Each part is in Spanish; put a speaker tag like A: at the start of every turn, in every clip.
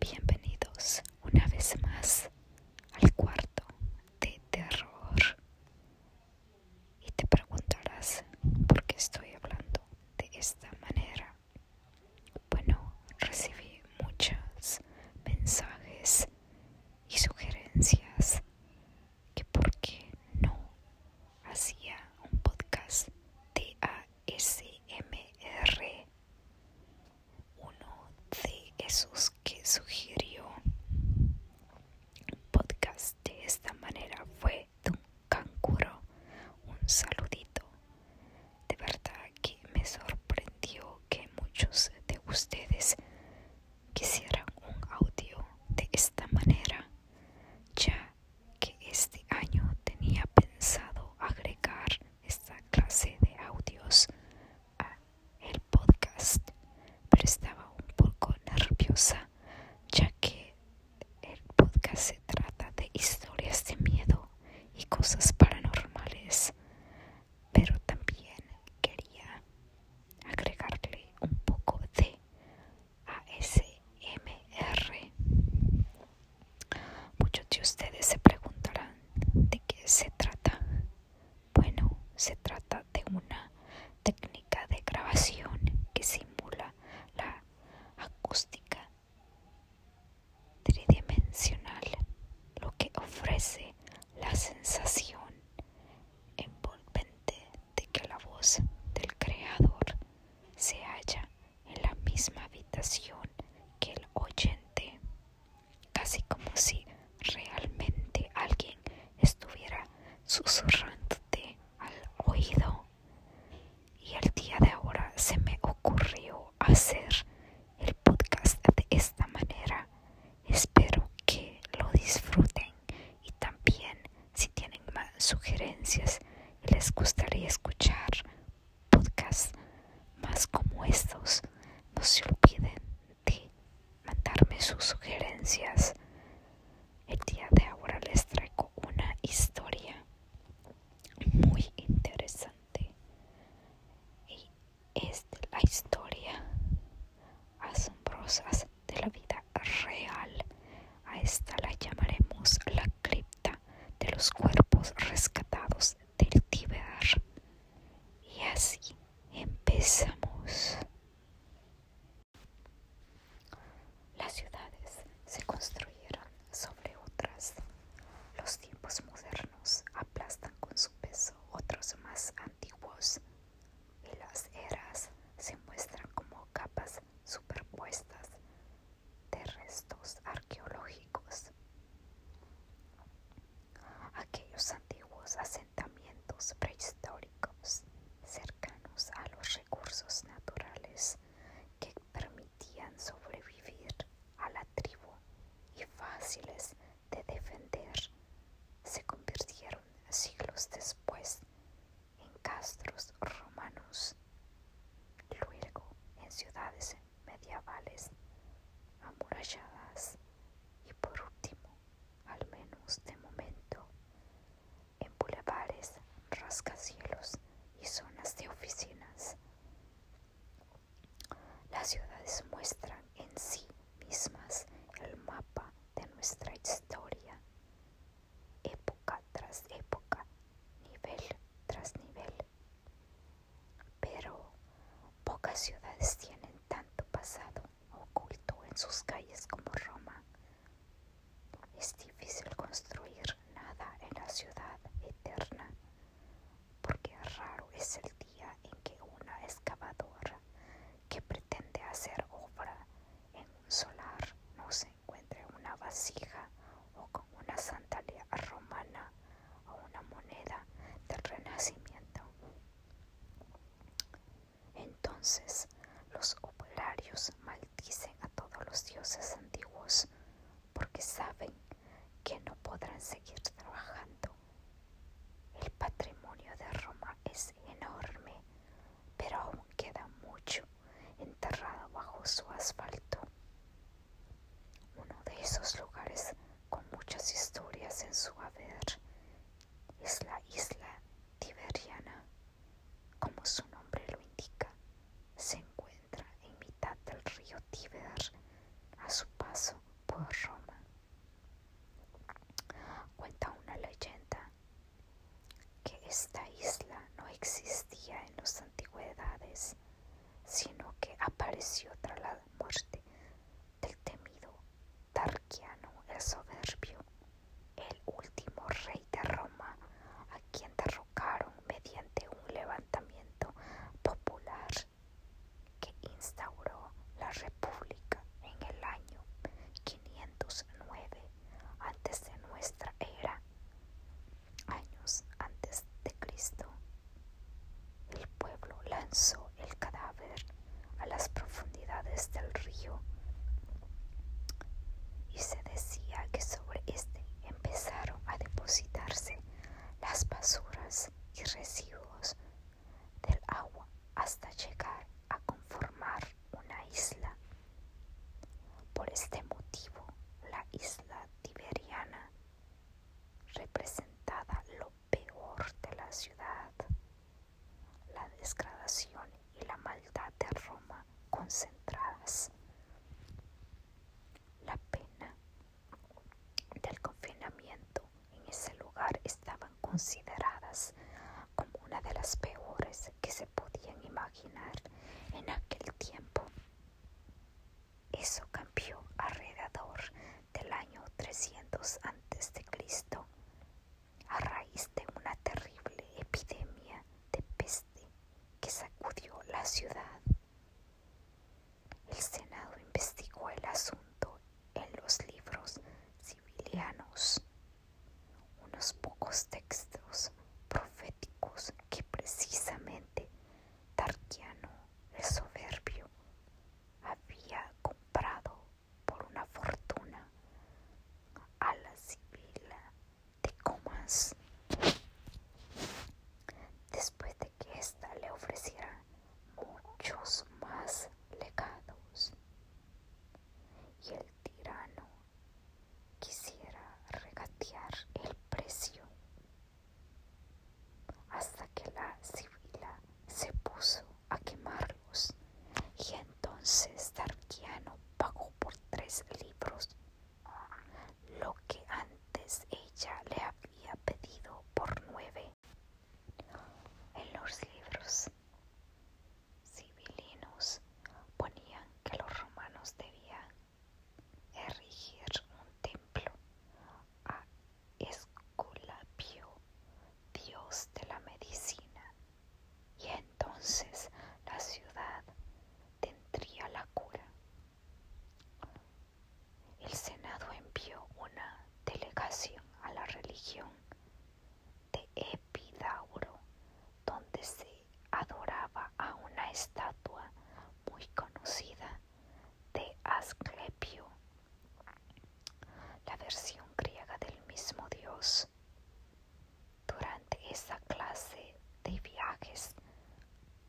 A: Bienvenidos una vez más al cuarto de terror. Y te preguntarás por qué estoy hablando de esta manera. Bueno, recibí muchos mensajes y sugerencias que por qué no hacía un podcast de SMR, uno de esos que sugirió un podcast de esta manera fue un cancuro. Un saludito. De verdad que me sorprendió que muchos de ustedes quisieran un audio de esta manera. Ya que este año tenía pensado agregar esta clase de audios a el podcast, pero estaba un poco nerviosa ya que el podcast se trata de historias de miedo y cosas paranormales, pero también quería agregarle un poco de ASMR. Muchos de ustedes se preguntarán de qué se trata. Bueno, se trata de una técnica de grabación que simula la acústica tridimensional, lo que ofrece la sensación envolvente de que la voz del creador se halla en la misma habitación que el oyente, casi como si realmente alguien estuviera susurrándote al oído. Y el día de ahora se me ocurrió hacer el podcast de esta manera. Espero que lo disfruten y también si tienen más sugerencias y les gustaría escuchar podcasts más como estos, no se olviden de mandarme sus sugerencias. El día de ahora les traigo una historia muy interesante. Y es de la historia asombrosas de la vida real a esta la llamaremos la cripta de los cuerpos rescatados del Tíber. Y así empezamos. Las ciudades se construyeron sobre otras. Los tiempos modernos aplastan con su peso otros más antiguos y las eras se muestran como capas superpuestas de restos arqueológicos. Aquellos antiguos asentamientos prehistóricos cercanos a los recursos naturales que permitían sobrevivir a la tribu y fáciles de defender se convirtieron siglos después en castros romanos, luego en ciudades medievales amuralladas y por último, al menos de momento, en bulevares, rascacielos y zonas de oficinas. Las ciudades muestran en sí mismas el mapa de nuestra historia época tras época, nivel tras nivel. Pero pocas ciudades tienen tanto pasado oculto en sus calles como Roma. Es difícil construir nada en la ciudad eterna, porque raro es el día en que una excavadora que pretende hacer obra en un solar no se encuentre una vasija o con una santalea romana o una moneda del renacimiento. Entonces los operarios maldicen a todos los dioses antiguos porque saben que no podrán seguir trabajando. El patrimonio de Roma es enorme pero aún queda mucho enterrado bajo su asfalto. Uno de esos lugares con muchas historias en su haber es la isla Tiberiana. Como su nombre lo indica, se encuentra en mitad del río Tiber, a su paso por Roma. Cuenta una leyenda que esta isla no existía en las antigüedades, sino que apareció tras la muerte del temido Tarquiano el Soberbio, el último rey de Roma, a quien derrocaron mediante un levantamiento popular que instauró la República en el año 509 antes de nuestra era, años antes de Cristo. El pueblo lanzó el cadáver a las profundidades del río y se decía que sobre este empezaron a depositarse las basuras y residuos del agua hasta llegar a conformar una isla. Por este motivo, la isla tiberiana representada lo peor de la ciudad. La desgradación y la maldad de Roma concentradas. La pena del confinamiento en ese lugar estaban consideradas como una de las peores que se podían imaginar en aquel tiempo. Eso cambió alrededor del año 300 a.C., a raíz de una terrible epidemia de peste que sacudió la ciudad. El Senado investigó el asunto en los libros civilianos unos pocos textos proféticos que precisamente Tarquiano el soberbio había comprado por una fortuna a la sibila de Comas después de que ésta le ofreciera muchos más legados. Y el tirano quisiera regatear el precio hasta que la sibila se puso a quemarlos y entonces Tarquiano pagó por tres libros lo que antes ella le había pedido por nueve. En los libros civilinos ponían que los romanos debían erigir un templo a Esculapio, dios de la medicina, y entonces la ciudad tendría la cura. El Senado envió una delegación a la religión de Epidauro, donde se adoraba a una estatua muy conocida de Asclepio, la versión griega del mismo dios. Durante esa clase de viajes,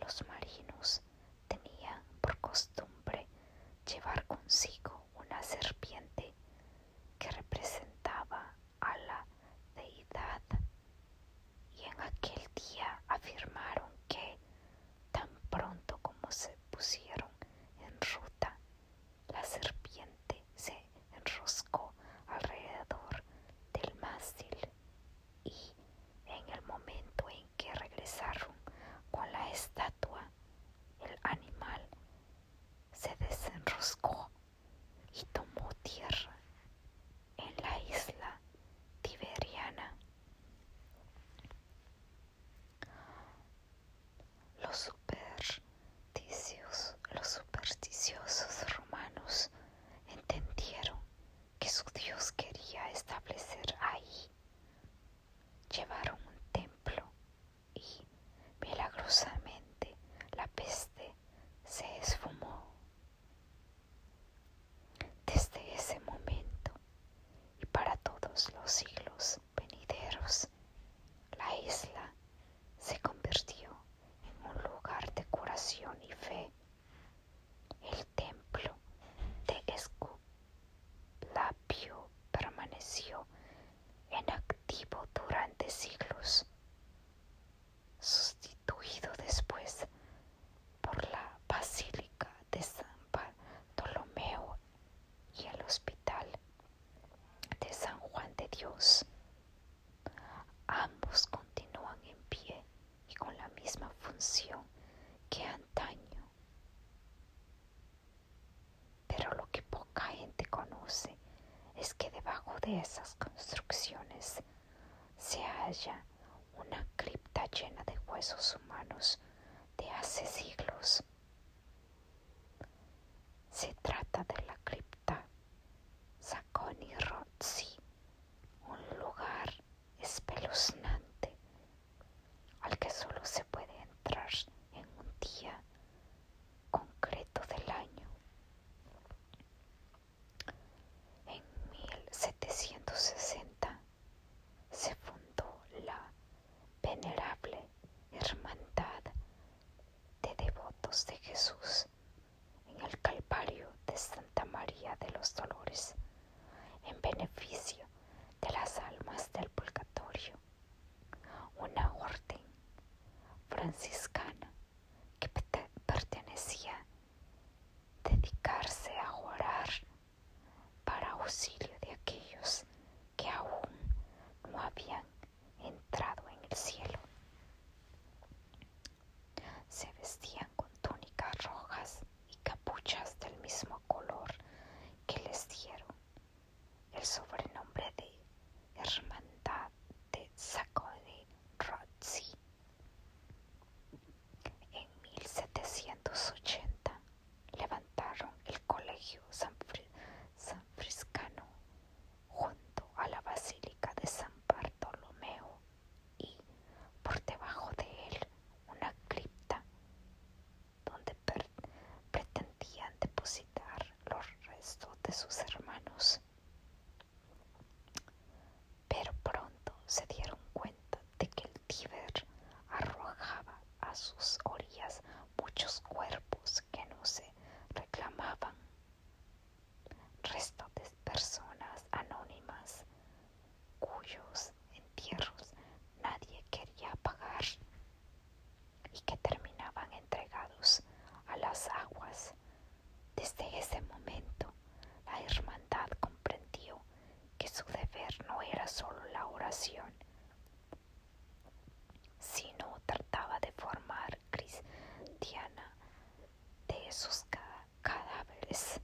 A: los marinos tenían por costumbre llevar consigo una serpiente que representaba a la deidad y en aquel día afirmaron que tan pronto como se pusieron en ruta, la serpiente se enroscó alrededor del mástil y en el momento en que regresaron con la estatua, el animal se desenroscó y tomó tierra en la isla tiberiana. Los supersticiosos, romanos entendieron que su Dios quería establecer ahí llevaron un templo y milagrosamente la peste se esfumó. Desde ese momento y para todos los siglos venideros, la isla se convirtió en un lugar de curación y fe templo de Esculapio permaneció en activo durante siglos, sustituido después por la Basílica de San Ptolomeo y el Hospital de San Juan de Dios. Ambos continúan en pie y con la misma función que antaño. Pero lo que poca gente conoce es que debajo de esas construcciones se halla una cripta llena de huesos humanos de hace siglos. Se trata de la cripta y Rotzi, un lugar espeluznante al que solo se puede entrar en un día concreto del año. En 1760 se fundó la venerable Hermandad de Devotos de Jesús en el Calvario de Santa María de los Dolores en beneficio de las almas del purgatorio, una orden franciscana que pertenecía dedicarse a orar para auxilio de aquellos que aún no habían entrado en el cielo. Se vestían con túnicas rojas y capuchas del mismo color que les dieron el sobrenombre de Hermandad de Saco de En 1780 levantaron el colegio San sanfriscano junto a la Basílica de San Bartolomeo y por debajo de él una cripta donde pretendían depositar los restos de sus hermanos. Pero pronto se dieron cuenta de que el Tíber arrojaba a sus orillas muchos cuerpos que no se reclamaban, restos de personas anónimas cuyos entierros nadie quería pagar y que terminaban entregados a las aguas. Desde ese momento, la hermandad comprendió que su deber no era solo la oración, sino trataba de formar cristiana de esos cadáveres.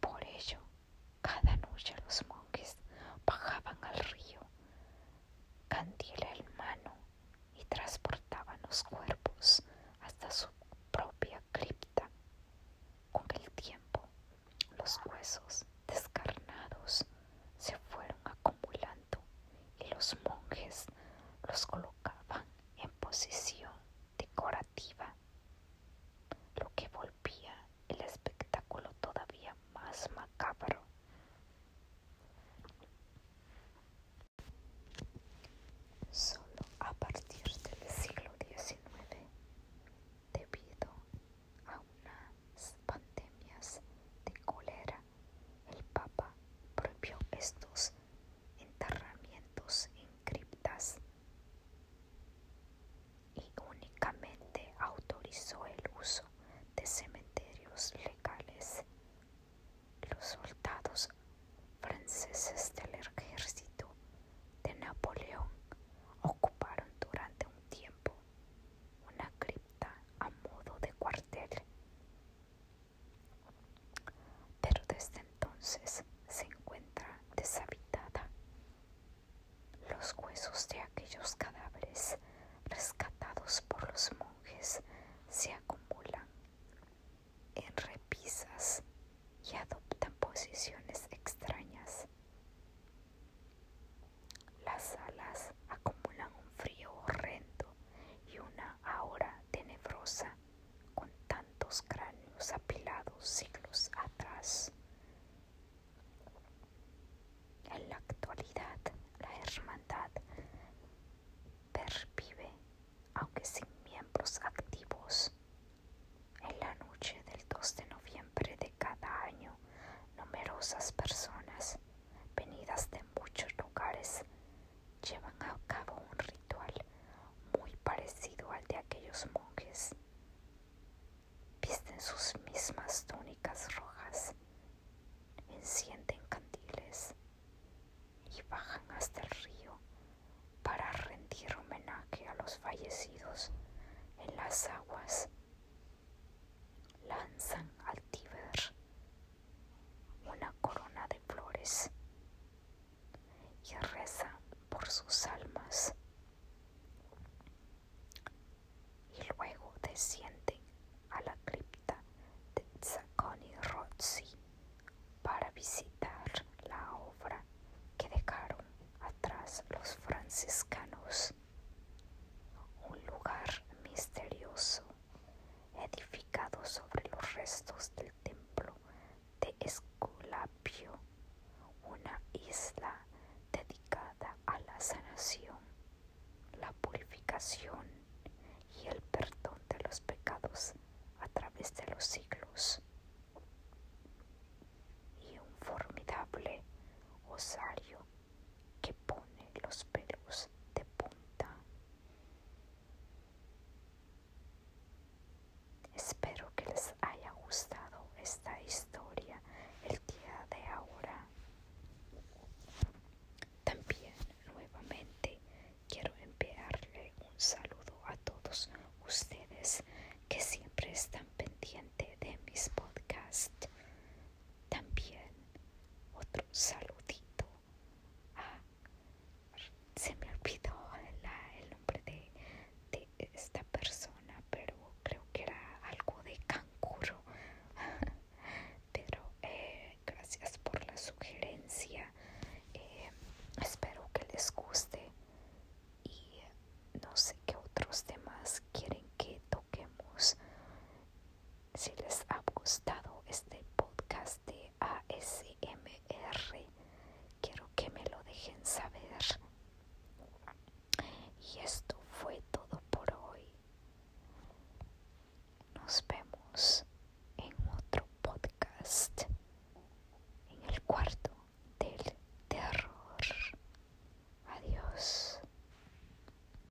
A: Por ello, cada noche los monjes bajaban al río, candela el mano, y transportaban los cuerpos hasta su propia cripta. Con el tiempo, los huesos descarnados se fueron acumulando y los monjes los colocaban en posición decorativa, lo que volvía el espectáculo todavía más macabro. Solo a partir del siglo XIX, debido a unas pandemias de cólera, el Papa prohibió estos enterramientos en criptas y únicamente autorizó el uso de cementerios legales. Los soldados franceses del ejército de Napoleón ocuparon durante un tiempo una cripta a modo de cuartel pero desde entonces se encuentra deshabitada. Los huesos de aquellos cadáveres rescatados por los monjes se acumulan en repisas y adoptan posiciones extrañas. Las alas acumulan un frío horrendo y una aura tenebrosa con tantos cráneos apilados siglos atrás. En la actualidad, la hermandad pervive, aunque sin miembros activos. En la noche del 2 de noviembre de cada año, numerosas personas, venidas de muchos lugares, llevan a cabo un ritual muy parecido al de aquellos monjes. Visten sus mismas túnicas rojas, encienden candiles y bajan hasta el río para rendir homenaje a los fallecidos en las aguas. Lanzan al Tíber una corona de flores y reza por sus almas. Y luego descienden a la cripta de Zacconi Rossi para visitar la obra que dejaron atrás los franciscanos, un lugar misterioso edificado sobre los restos del templo de Esculapio, una isla dedicada a la sanación, la purificación y el perdón de los pecados a través de los siglos, y un formidable osario que pone los pelos de punta Espero que les haya gustado esta historia el día de ahora. También nuevamente quiero enviarle un saludo a todos ustedes que siempre están pendientes de mis podcasts. También otro saludito se me olvidó el nombre de, esta persona, pero creo que era algo de Cancuro Pero eh, gracias por la sugerencia. Eh, espero que les guste y no sé qué otros temas quieren que toquemos. Si les ha gustado este podcast de ASMR, quiero que me lo dejen saber. Y esto fue todo por hoy. Nos vemos en otro podcast, en el cuarto del terror. Adiós.